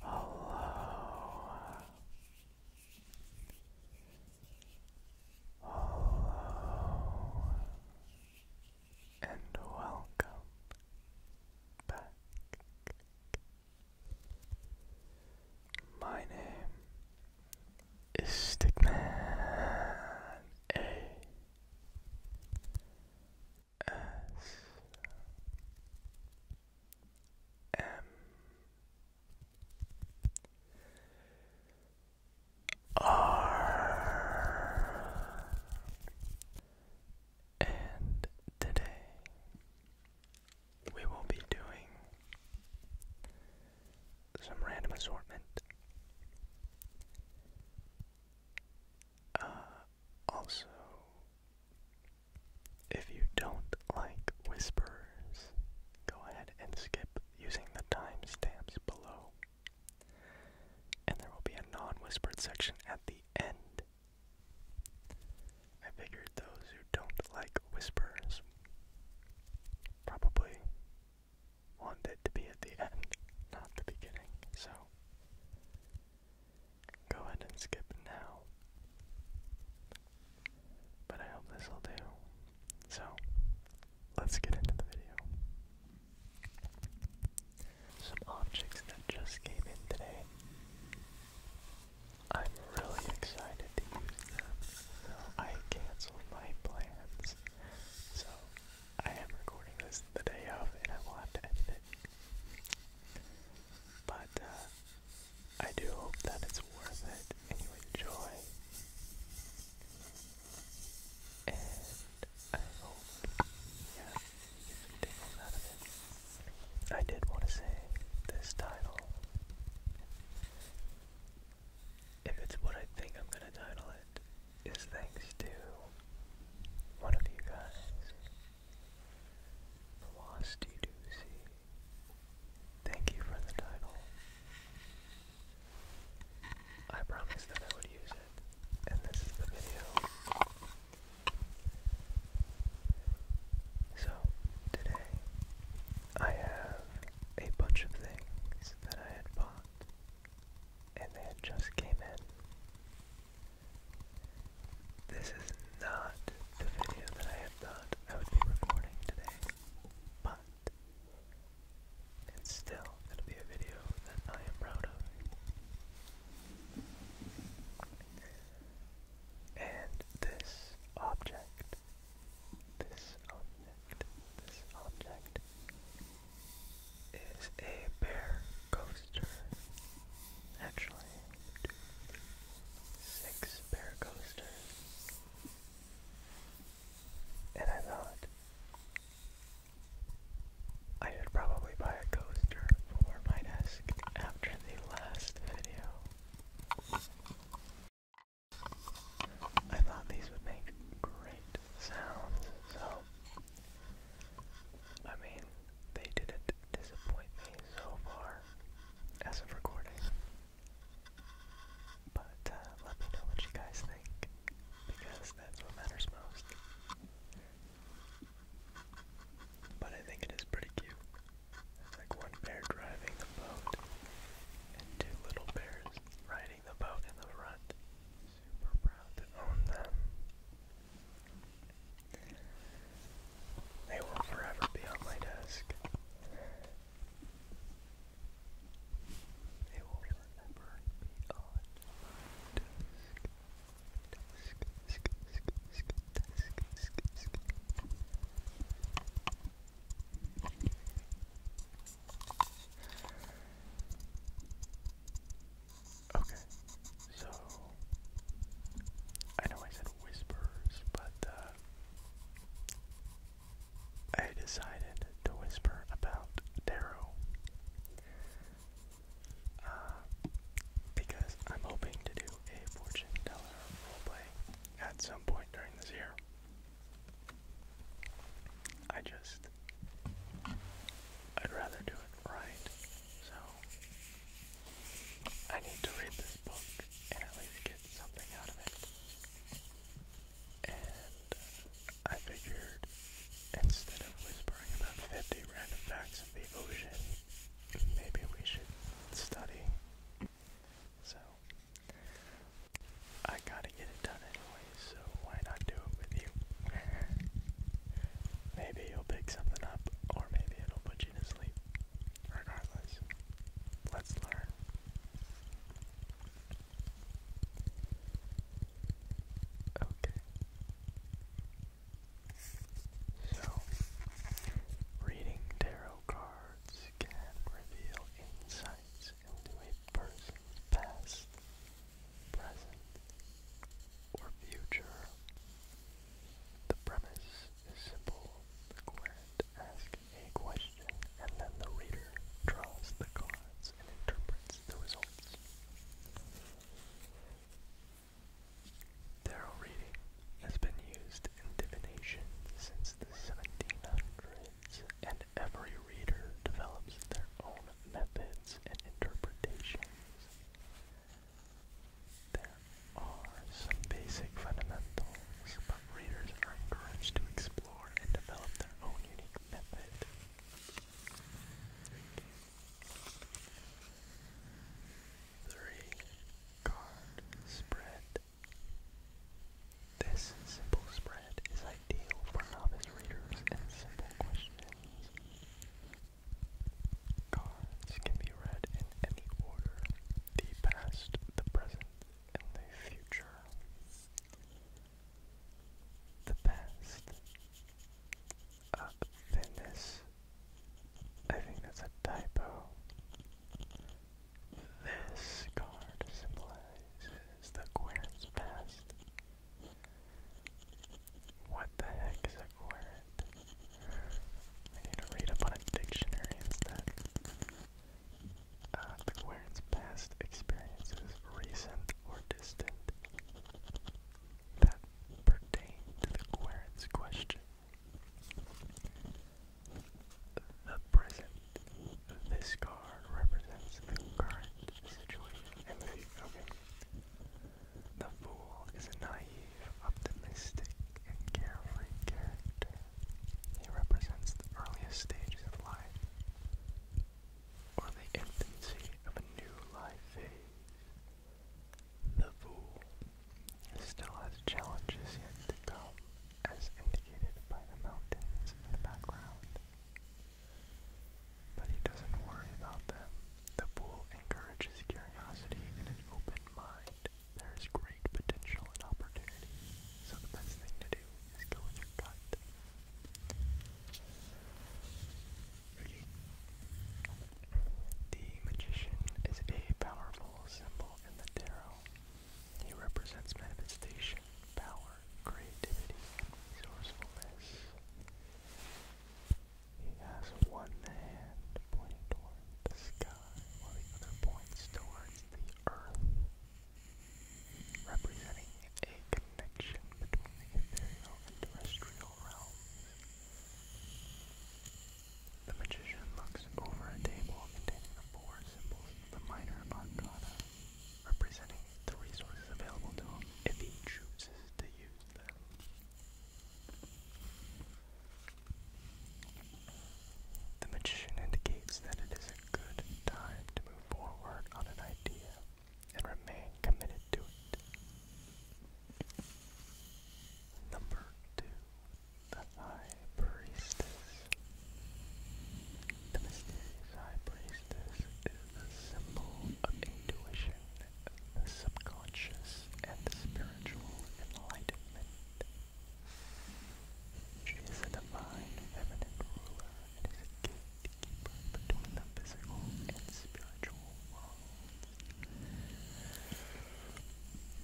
Hello. Hello. And welcome back. My name is Stickman A S M R and today we will be doing some random assortment uh, also, if you don't like whispers, go ahead and skip using the timestamps below. And there will be a non whispered section at the end. I figured those who don't like whispers probably want to be at the end, not the beginning, so Go ahead and skip now. But I hope this will do. So, let's get into the video. Some objects that just came in today. I'm really excited to use them, I canceled my plans. So I am recording this the day of, and I will have to edit it. But uh, I do hope that it's worth it, and you enjoy. And I hope, yeah, you get tingles out of it. I did want to say this title. If it's what I think I'm gonna title it, is thanks to one of you guys. Frosty Doozy. Thank you for the title. I promised that I would use it, and this is the video. So, today I have a bunch of things that I had bought, and they just came in. This is not the video that I had thought I would be recording today, but it's still going to be a video that I am proud of. And this object, this object, this object is a bear coaster. Actually, six bear coasters. And I thought I should probably buy a coaster for my desk after the last video. I thought these would make great sounds, so I mean, they didn't disappoint me so far as of recording. But uh, let me know what you guys think, because that's what matters most. But I think it is pretty cute. It's like one bear driving the boat, and two little bears riding the boat in the front super proud to own them. They will forever be on my desk. They will forever be on my desk. Okay, so I know I said whispers, but uh, I decided to whisper about Darrow uh, because I'm hoping to do a fortune teller roleplay at some point during this year. I just I'd rather do it right. So I need to read this book and at least get something out of it. And uh, I figured instead of whispering about 50 random facts of the ocean, maybe we should study. So I gotta get it done anyway, so why not do it with you? maybe you'll pick something up, or maybe it'll put you to sleep. Regardless, let's learn. Okay. So, reading tarot cards can reveal insights into a person's past, present, or future. The premise is simple. The querent asks a question, and then the reader draws the cards and interprets the results. Tarot reading has been used in divination since the 1700s, and every reader develops their own methods and interpretations. There are some basic fundamentals, but readers are encouraged to explore and develop their own unique method. Three card spread. This simple spread is ideal for novice readers and simple questions. Cards can be read in any order the past, the present, and the future. The past. Uh, thinness. I think that's a typo. This card symbolizes the Queen's past. What the heck is a word? I need to read up on a dictionary instead. Uh, the querent's past experiences, recent or distant, that pertain to the querent's question. The present. This card represents the current situation the fool is a naive, optimistic, and carefree character. He represents the earliest stages of life, or the infancy of a new life phase. The fool still has challenges yet to come, as indicated by the mountains in the background. But he doesn't worry about them. The bull encourages curiosity and an open mind. There is great potential and opportunity, so the best thing to do is go with your gut. The magician is a powerful symbol in the tarot. He represents manifestation, power, creativity, and resourcefulness. He has one hand pointing towards the sky while the other points towards the earth, representing a connection between the ethereal and terrestrial realms. The magician looks over a table containing the four symbols of the minor arcana, representing the resources available to him if he chooses to use them. The magician indicates that it is a good time to move forward on an idea and remain committed to it. Number two, the High Priestess. The mysterious High Priestess Priestess is the symbol of intuition, the subconscious, and the spiritual enlightenment. She is a divine feminine ruler and is a gatekeeper between the physical and spiritual worlds.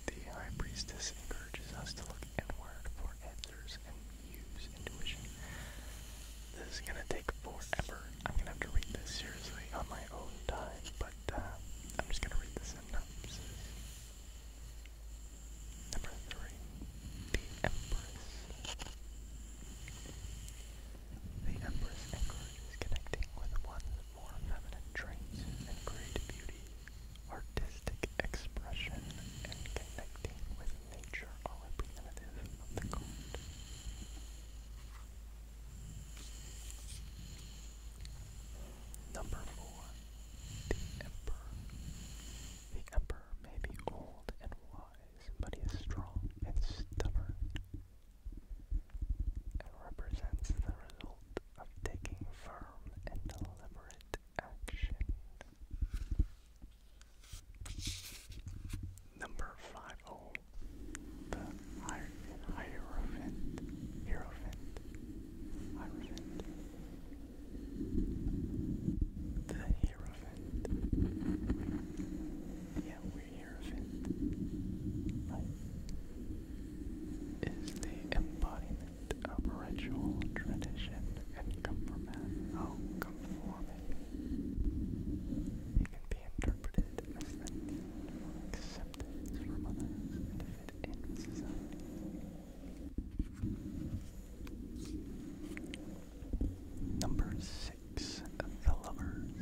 The High Priestess encourages us to look inward for answers and use intuition this is gonna take forever. I'm gonna have to read this seriously on my own time, but uh, I'm just gonna read the synopsis. Number three, the Empress. The Empress encourages connecting with one's more feminine traits and creative beauty, artistic expression, and connecting with nature are representative of the god. Number four, the Emperor. The Emperor may be old and wise, but he is strong and stubborn, and represents the result of taking firm and deliberate action. Number 50, the Hierophant, Hierophant, Hierophant. The Hierophant, yeah, we Hierophant, is the embodiment of ritual tradition and oh, conformity. Number six, the lovers.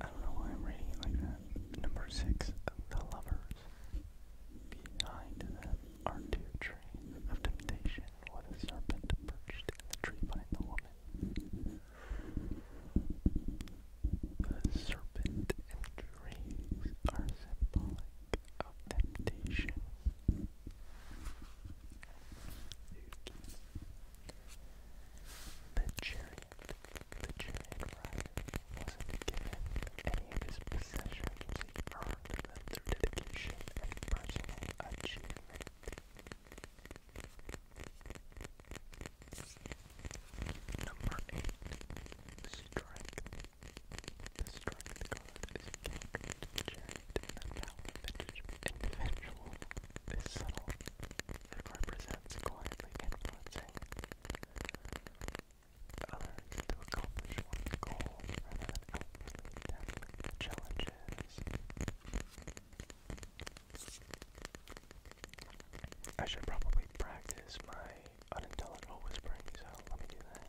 I don't know why I'm reading like that. Number six, the lovers. Behind the are two of temptation with a serpent perched in the tree behind the woman. The serpent and trees are symbolic of temptation. The chariot, the chariot rider wasn't given any of his possessions. He earned them through dedication and of achievement. Number eight, strength. The strength card is character individual is subtle. It represents quietly influencing others to accomplish one's goal rather challenges. I should probably practice my unintelligible whispering, so let me do that.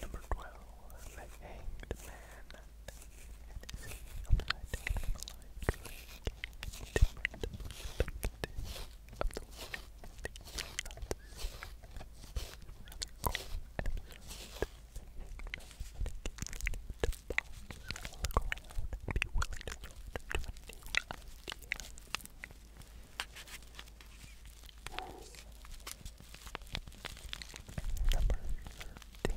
Number twelve, the hanged man. And upside down alive, different perspectives of the world that you cannot see, rather cold and observed, they may not indicate to pause, be willing to look new idea. Number 13.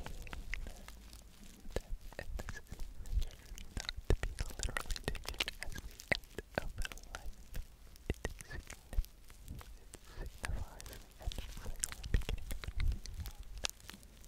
And this is measured not to be literally taken as the end of a life. It, signifies, of a and beginning of a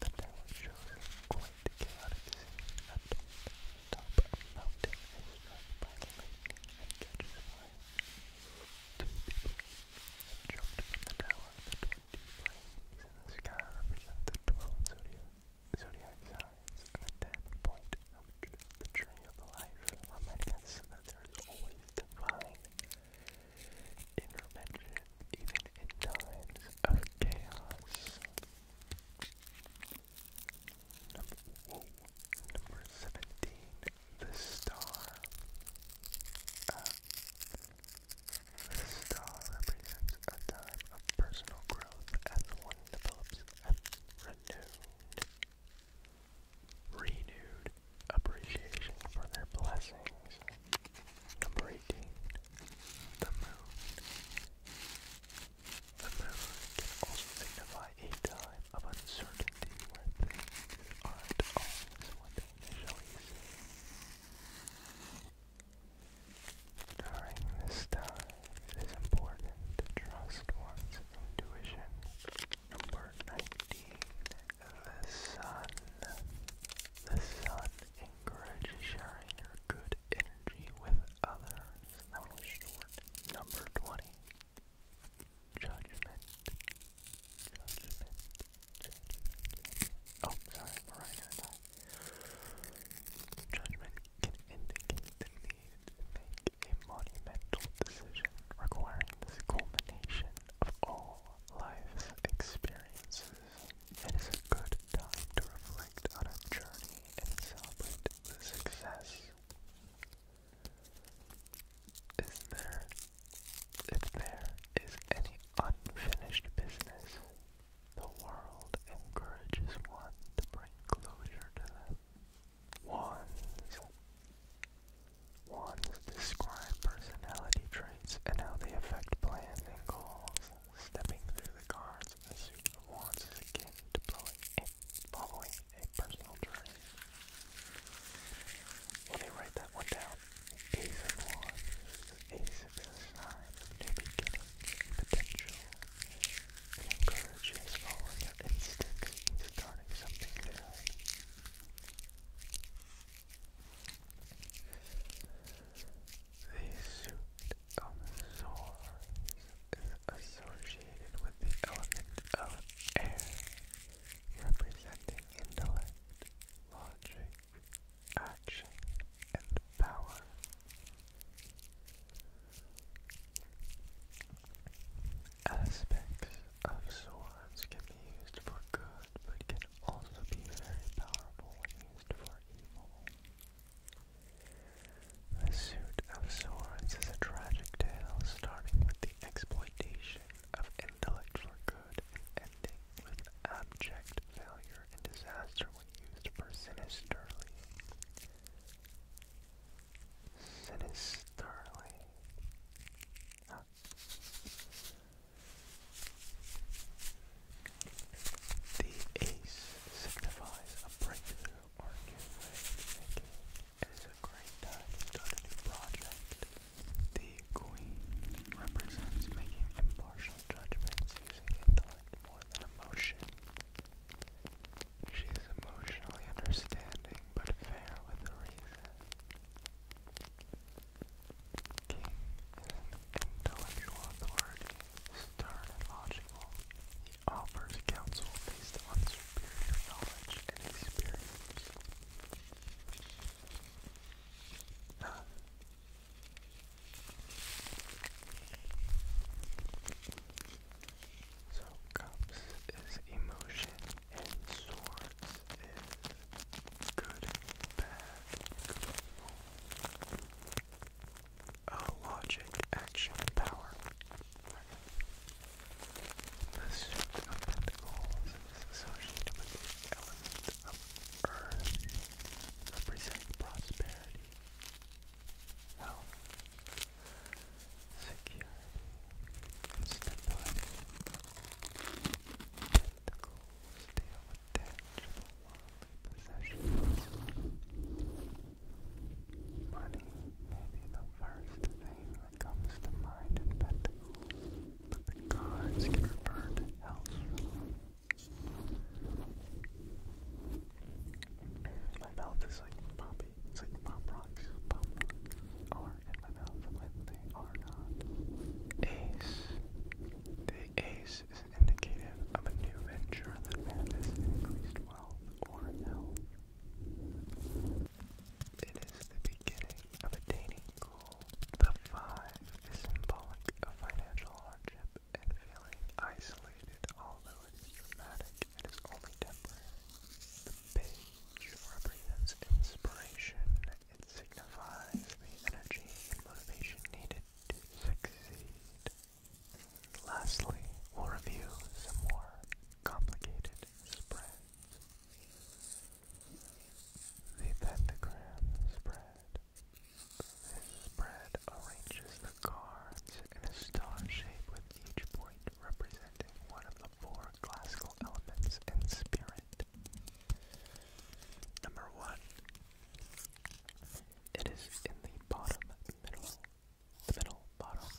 The tower shows quite chaotic scene at the top of a mountain is struck by lightning and catches fire. Two people have jumped from the tower. The twenty flames in the sky represent the twelve zodiac, zodiac signs, and the ten point of the tree of life, reminding us that there is always divine intervention, even in times of chaos. Number, 17, the star. Uh, the star represents a time of personal growth as one develops renewed, renewed appreciation for their blessings the moon. The moon can also signify a time of uncertainty where things aren't always what they initially seem. During this time, it is important to trust one's intuition. Number 19. The sun. The sun encourages sharing your good energy with others. That short. Number 20. Judgment. Judgment. Judgment. Oh, sorry, Mariah Judgment can indicate the need to make a monumental decision requiring this culmination of all life's experiences. It is a good time to reflect on our journey and celebrate the success. if there is any unfinished business, the world encourages one to bring closure to them. Wands. Wands describe personality traits and how they affect plans and goals. Stepping through the cards in the suit of wands is akin to blowing a, following a personal journey. Let me write that one down. Ace of wands. Ace is a sign new beginnings potential. encourages following your instincts and something new. The suit Omosaurus is associated with the element of air, representing intellect, logic, action, and power. Aspects of swords can be used for good, but can also be very powerful when used for evil. The Suit of Swords is a tragic tale starting with the exploitation of intellect for good and ending with abject failure and disaster when used for sinisterly. Sinisterly. The ace signifies a breakthrough or a new way of thinking. It is a great time to a new project. The queen represents making impartial judgments using intellect more than emotion. She is emotionally understanding but fair with reason. King is an intellectual authority, stern and logical. He offers counsel based on superior knowledge and experience. So cups is emotion and swords is good and bad, Oh, logic, action, power. The suit of pentacles is associated with the of earth, representing prosperity, wealth, security, stability. Pentacles deal with tangible possessions. Money may be the first thing that comes to mind in Pentacles, but the cards can refer to My mouth is like poppy. It's like pop rocks. Pop are in my mouth when they are not. Ace. The ace is indicative of a new venture that manifests increased wealth or health. It is the beginning of attaining goal. The five is symbolic of financial hardship and feeling isolated, although it is dramatic, it is only temporary. The page represents inspiration. It signifies the energy and motivation needed Lastly, we'll review some more complicated spreads. The pentagram spread. This spread arranges the cards in a star shape with each point representing one of the four classical elements and spirit. Number one, it is in the bottom middle, the middle bottom.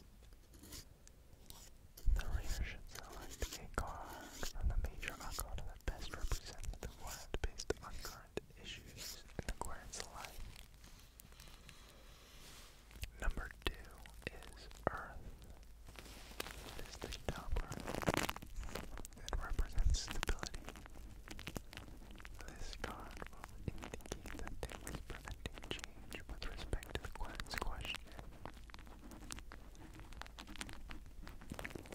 The reader should a card from the major arcana that best represents the word based on current issues in the life. Number two is Earth. It is the top It represents stability, this card will indicate that there was change with respect the quack's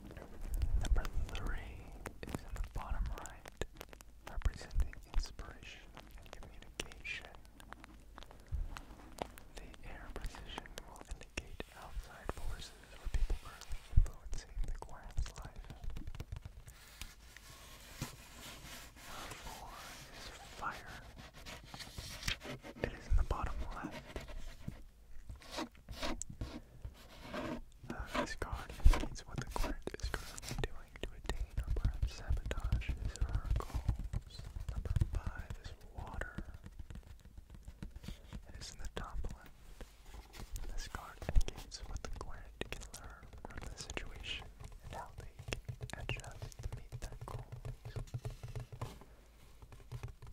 Number three is in the bottom right, representing inspiration and communication. The air position will indicate outside forces there were people currently influencing the Quan's life. Number four is fire. It is in the bottom left. Uh, this card indicates what the Quant is currently doing to attain or perhaps sabotage his or her goals. Number five is water. It is in the top left. This card indicates what the client can learn from the situation and how they adjust to meet their goals.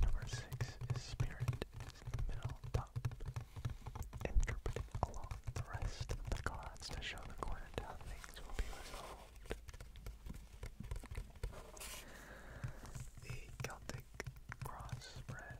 Number six is Spirit in the middle top, interpreted along the rest of the cards to show the client how things will be resolved. The Celtic cross spread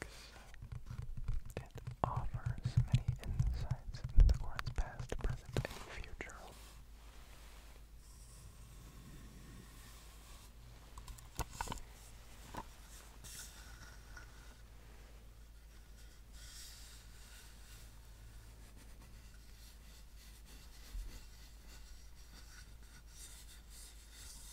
books that offers many insights into the court's past, present, and future.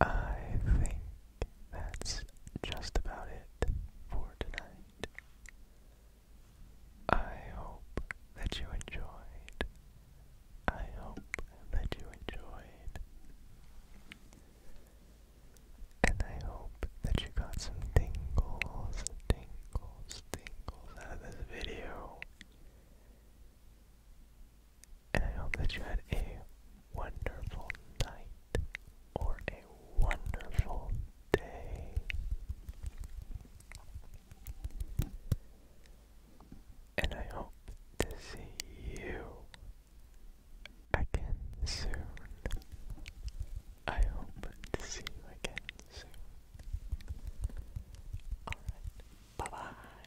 I think that's just about it for tonight. I hope that you enjoyed. I hope that you enjoyed. And I hope that you got some tingles, tingles, tingles out of this video. And I hope that you had a wonderful night or a wonderful day. And I hope to see you again soon. I hope to see you again soon. Alright, bye bye.